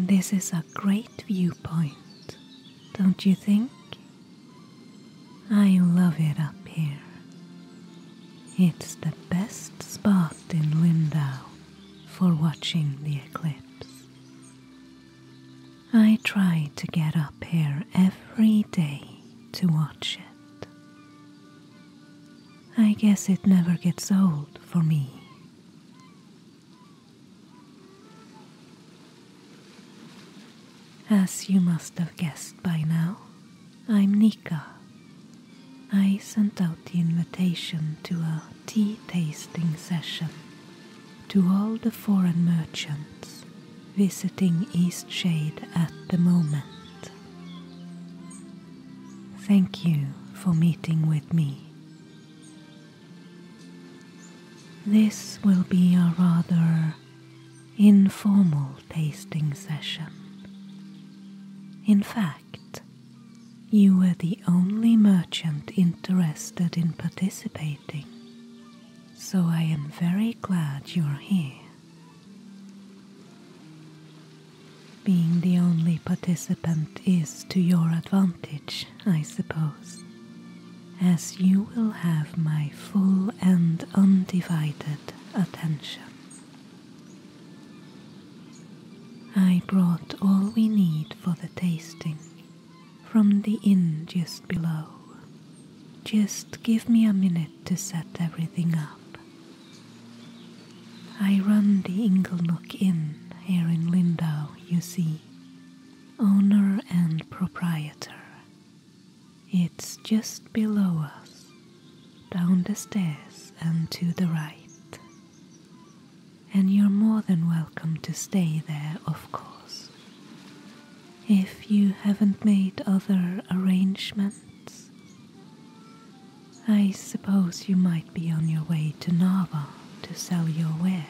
This is a great viewpoint, don't you think? I love it up here. It's the best spot in Lindau for watching the eclipse. I try to get up here every day to watch it. I guess it never gets old for me. As you must have guessed by now, I'm Nika I sent out the invitation to a tea tasting session to all the foreign merchants visiting Eastshade at the moment. Thank you for meeting with me. This will be a rather informal tasting session. In fact, you were the only merchant interested in participating, so I am very glad you're here. Being the only participant is to your advantage, I suppose, as you will have my full and undivided attention. I brought all we need for the tasting from the inn just below. Just give me a minute to set everything up. I run the Inglenook Inn here in Lindau, you see, owner and proprietor. It's just below us, down the stairs and to the right and you're more than welcome to stay there, of course. If you haven't made other arrangements, I suppose you might be on your way to Nava to sell your wares.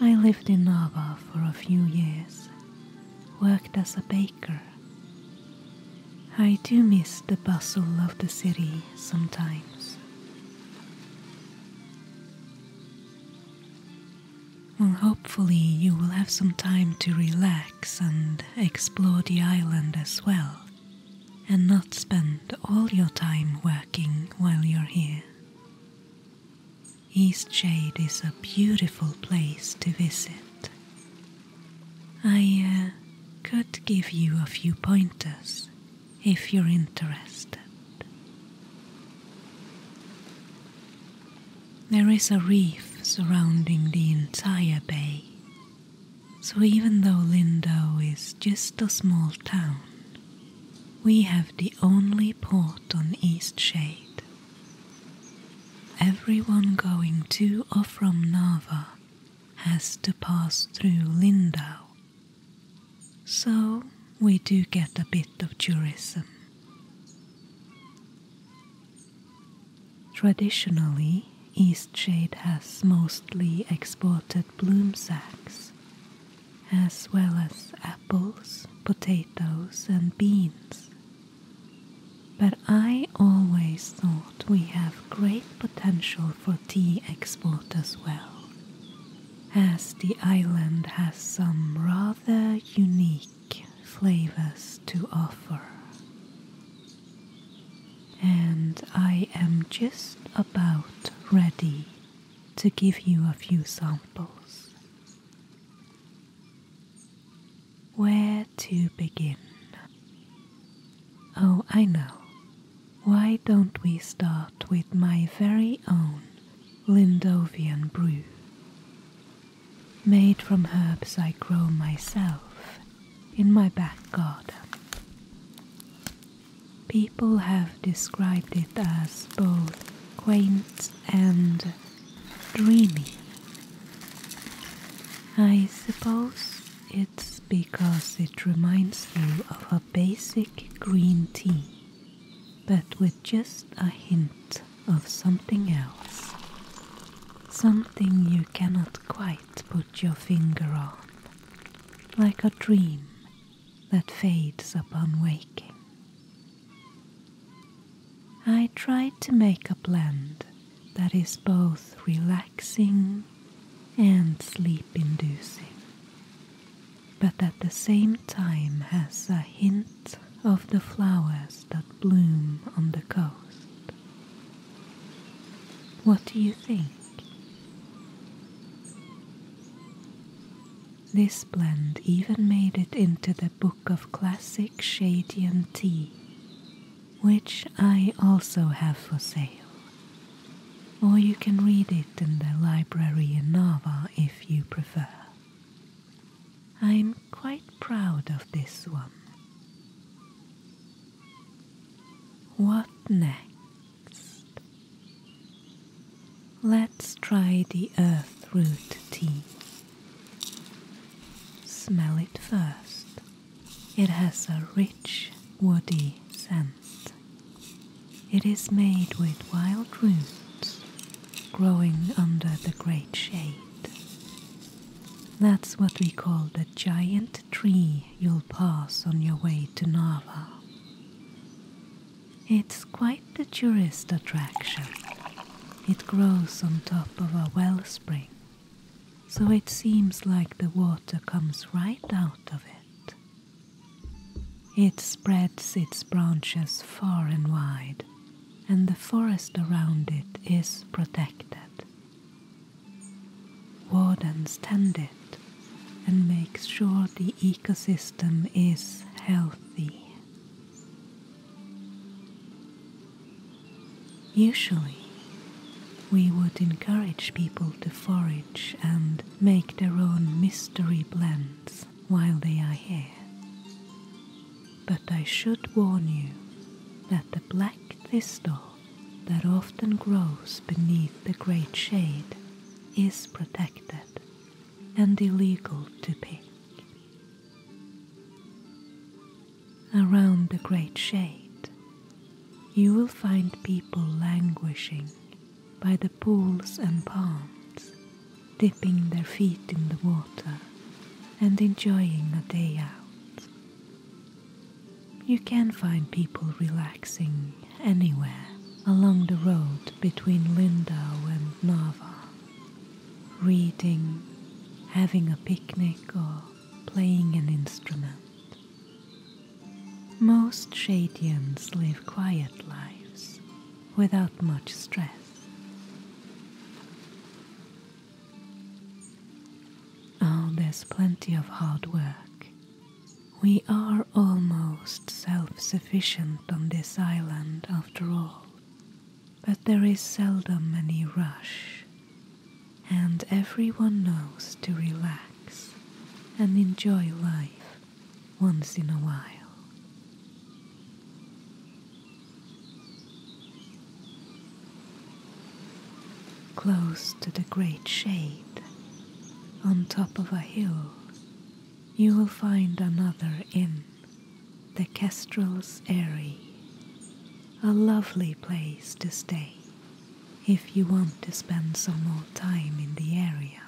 I lived in Nava for a few years, worked as a baker, I do miss the bustle of the city sometimes. Well, hopefully, you will have some time to relax and explore the island as well, and not spend all your time working while you're here. East Jade is a beautiful place to visit I uh, could give you a few pointers if you're interested. There is a reef surrounding the entire bay, so even though Lindo is just a small town, we have the only port on East Shade Everyone going to or from Nava has to pass through Lindau. So we do get a bit of tourism. Traditionally, Eastshade has mostly exported bloom sacks, as well as apples, potatoes, and beans but I always thought we have great potential for tea export as well, as the island has some rather unique flavors to offer. And I am just about ready to give you a few samples. Where to begin? Oh, I know. Why don't we start with my very own Lindovian brew? Made from herbs I grow myself in my back garden. People have described it as both quaint and dreamy. I suppose it's because it reminds you of a basic green tea, but with just a hint of something else. Something you cannot quite put your finger on, like a dream that fades upon waking. I tried to make a blend that is both relaxing and sleep inducing, but at the same time has a hint of the flowers that bloom on the coast. What do you think? This blend even made it into the book of classic Shadian tea, which I also have for sale. Or you can read it in the library in Nava if you prefer. I'm quite proud of this one. What next? Let's try the earth root tea. Smell it first. It has a rich woody scent. It is made with wild roots growing under the great shade. That's what we call the giant tree you'll pass on your way to Narva. It's quite the tourist attraction. It grows on top of a wellspring, so it seems like the water comes right out of it. It spreads its branches far and wide, and the forest around it is protected. Wardens tend it and make sure the ecosystem is healthy. Usually, we would encourage people to forage and make their own mystery blends while they are here. But I should warn you that the black thistle that often grows beneath the great shade is protected and illegal to pick. Around the great shade, you will find people languishing by the pools and ponds, dipping their feet in the water and enjoying a day out. You can find people relaxing anywhere along the road between Lindau and Nava reading, having a picnic, or playing an instrument. Most Shadians live quiet lives without much stress. Oh, there's plenty of hard work. We are almost self sufficient on this island after all but there is seldom any rush, and everyone knows to relax and enjoy life once in a while. Close to the great shade, on top of a hill, you will find another inn the Kestrel's Eyrie, a lovely place to stay if you want to spend some more time in the area.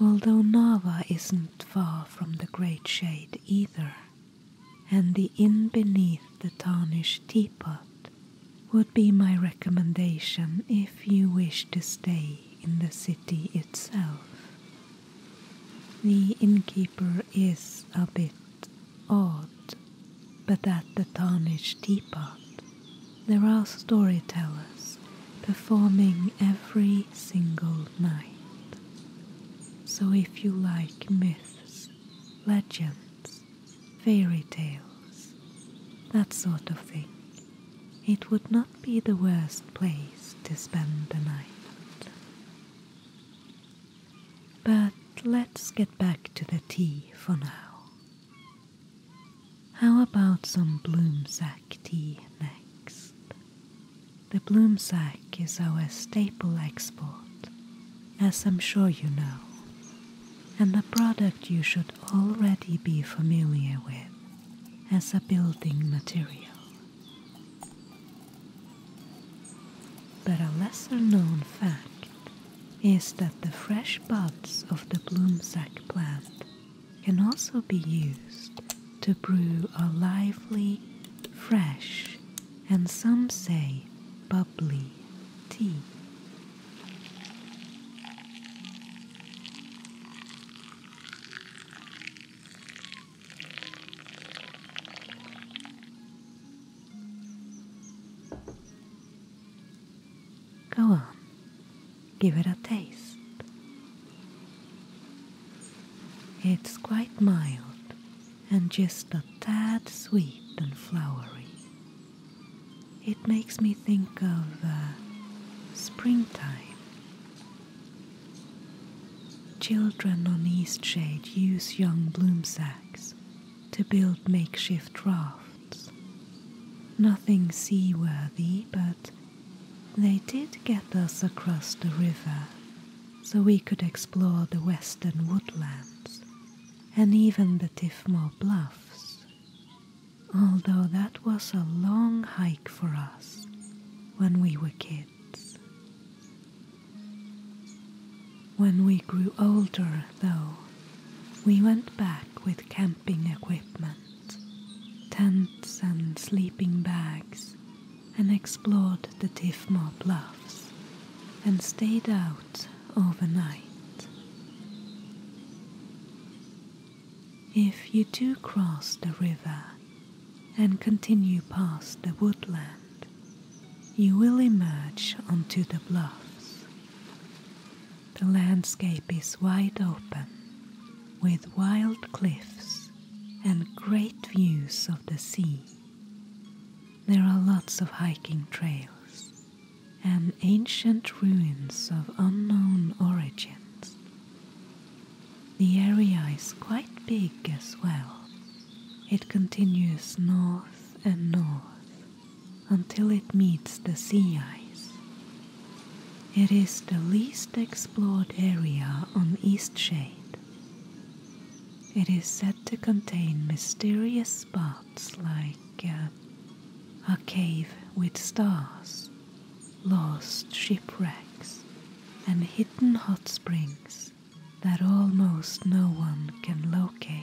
Although Nava isn't far from the Great Shade either, and the inn beneath the tarnished teapot would be my recommendation if you wish to stay in the city itself. The innkeeper is a bit odd, but at the tarnished teapot there are storytellers performing every single night. So if you like myths, legends, fairy tales, that sort of thing, it would not be the worst place to spend the night. But let's get back to the tea for now. How about some Bloomsack tea next? The Bloomsack is our staple export, as I'm sure you know, and a product you should already be familiar with as a building material. But a lesser known fact is that the fresh buds of the bloomsack plant can also be used to brew a lively, fresh, and some say bubbly tea. Go on, give it a taste. It's quite mild and just a tad sweet and flowery. It makes me think of uh, springtime Children on Eastshade use young bloom sacks to build makeshift rafts. Nothing seaworthy, but they did get us across the river so we could explore the western woodlands and even the Tifmore Bluffs although that was a long hike for us when we were kids. When we grew older, though, we went back with camping equipment, tents and sleeping bags, and explored the Tifmore Bluffs and stayed out overnight. If you do cross the river and continue past the woodland, you will emerge onto the bluffs. The landscape is wide open with wild cliffs and great views of the sea. There are lots of hiking trails and ancient ruins of unknown origins the area is quite big as well. It continues north and north until it meets the sea ice. It is the least explored area on Eastshade. It is said to contain mysterious spots like uh, a cave with stars lost shipwrecks, and hidden hot springs that almost no one can locate.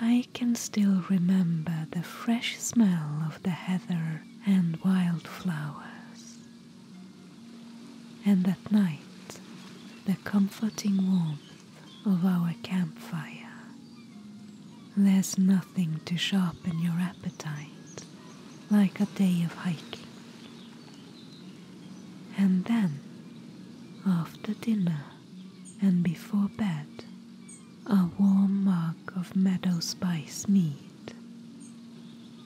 I can still remember the fresh smell of the heather and wildflowers, and at night the comforting warmth of our campfire. There's nothing to sharpen your appetite like a day of hiking. And then, after dinner and before bed, a warm mug of meadow spice mead.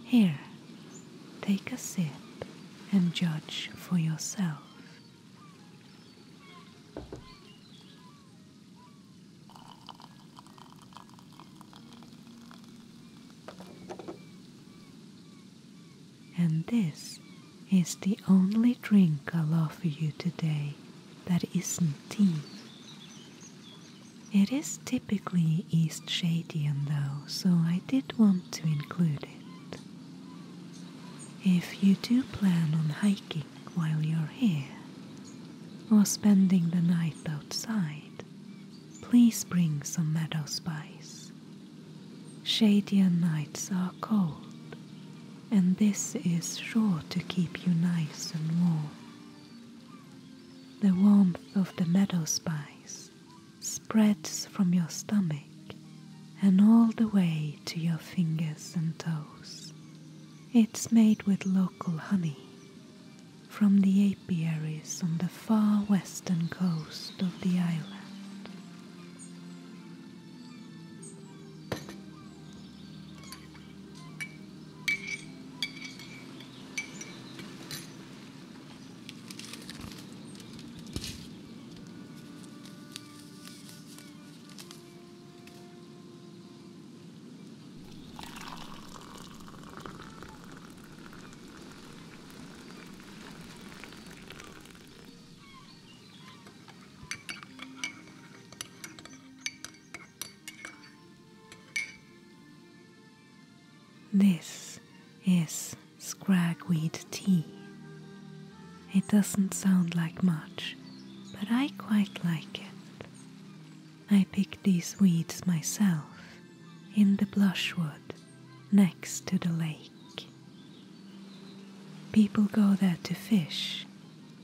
Here, take a sip and judge for yourself. And this is the only drink I'll offer you today that isn't tea. It is typically East Shadian though, so I did want to include it. If you do plan on hiking while you're here or spending the night outside, please bring some meadow spice. Shadier nights are cold, and this is sure to keep you nice and warm. The warmth of the meadow spice spreads from your stomach and all the way to your fingers and toes. It's made with local honey from the apiaries on the far western coast of the island. This is scragweed tea, it doesn't sound like much, but I quite like it. I pick these weeds myself in the blushwood next to the lake. People go there to fish,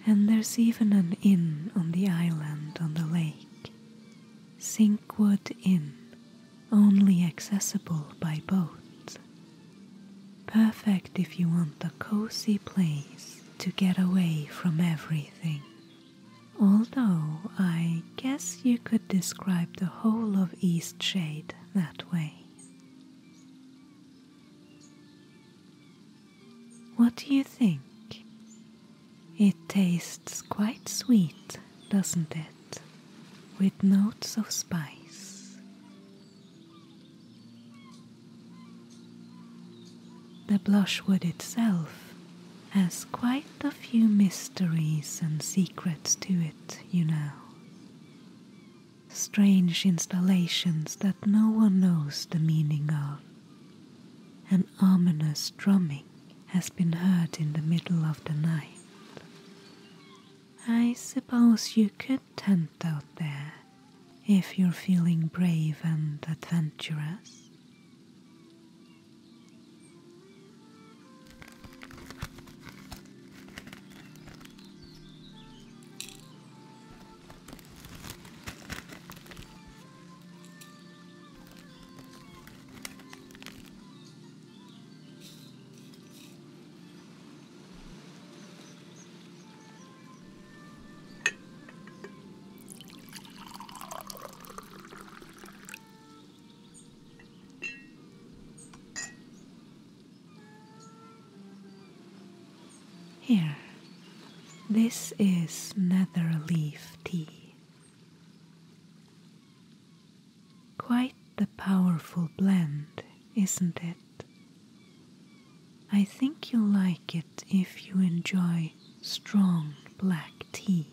and there's even an inn on the island on the lake, Sinkwood Inn, only accessible by boat. Perfect if you want a cozy place to get away from everything. Although I guess you could describe the whole of Eastshade that way. What do you think? It tastes quite sweet, doesn't it? With notes of spice. The blushwood itself has quite a few mysteries and secrets to it, you know. Strange installations that no one knows the meaning of. An ominous drumming has been heard in the middle of the night. I suppose you could content out there if you're feeling brave and adventurous. Here, this is nether leaf tea. Quite a powerful blend, isn't it? I think you'll like it if you enjoy strong black tea.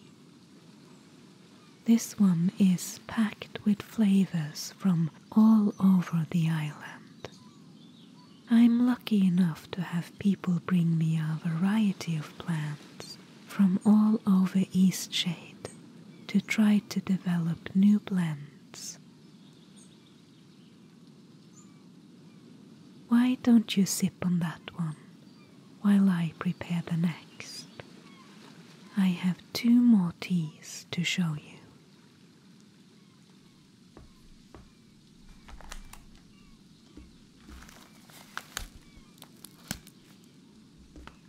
This one is packed with flavors from all over the island. I'm lucky enough to have people bring me a variety of plants from all over Eastshade to try to develop new blends. Why don't you sip on that one while I prepare the next? I have two more teas to show you.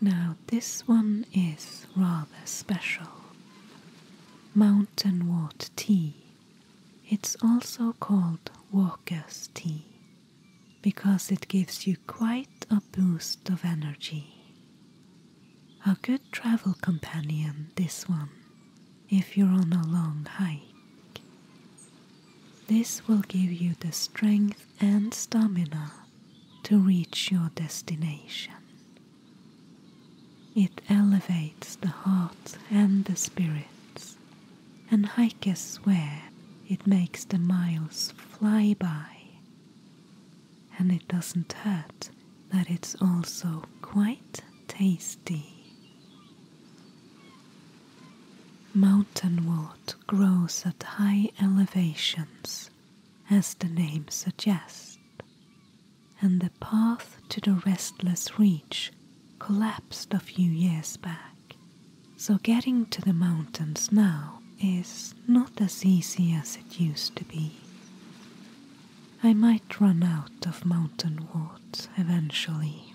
Now, this one is rather special mountain water tea. It's also called walker's tea because it gives you quite a boost of energy. A good travel companion, this one, if you're on a long hike. This will give you the strength and stamina to reach your destination. It elevates the heart and the spirits, and hikers swear it makes the miles fly by. And it doesn't hurt that it's also quite tasty. Mountain Mountainwort grows at high elevations, as the name suggests, and the path to the restless reach collapsed a few years back, so getting to the mountains now is not as easy as it used to be. I might run out of mountain wart eventually.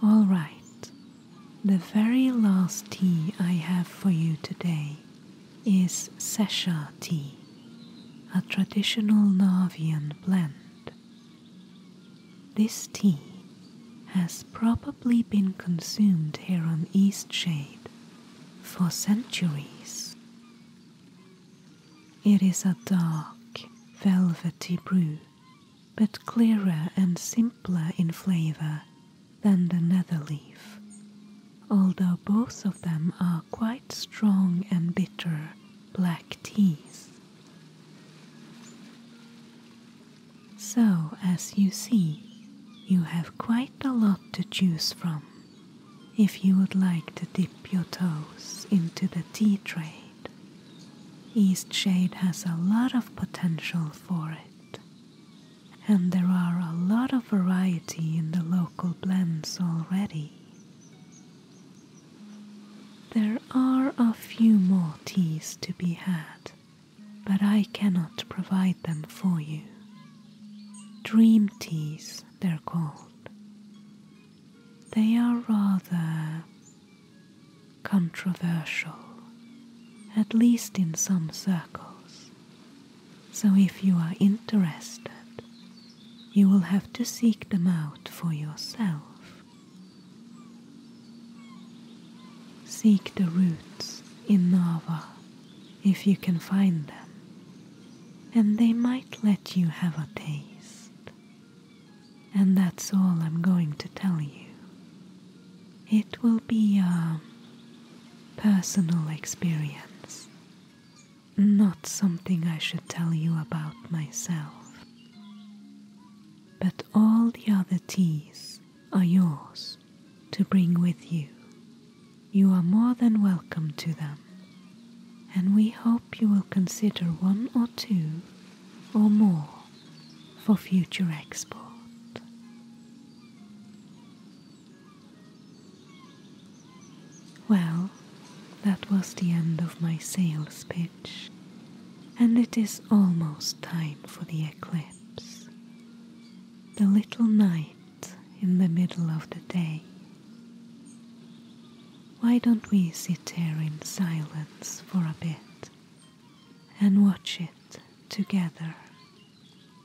All right, the very last tea I have for you today is Sesha tea, a traditional Navian blend. This tea has probably been consumed here on Eastshade for centuries. It is a dark, velvety brew, but clearer and simpler in flavor than the netherleaf although both of them are quite strong and bitter black teas. So, as you see, you have quite a lot to choose from if you would like to dip your toes into the tea trade. East Shade has a lot of potential for it, and there are a lot of variety in the local blends already. There are a few more teas to be had, but I cannot provide them for you. Dream teas, they're called. They are rather controversial, at least in some circles. So if you are interested, you will have to seek them out for yourself. Seek the roots in Nava if you can find them, and they might let you have a taste. And that's all I'm going to tell you. It will be a personal experience not something I should tell you about myself. But all the other teas are yours to bring with you. You are more than welcome to them, and we hope you will consider one or two or more for future export. Well, that was the end of my sales pitch, and it is almost time for the eclipse. The little night in the middle of the day. Why don't we sit here in silence for a bit and watch it together?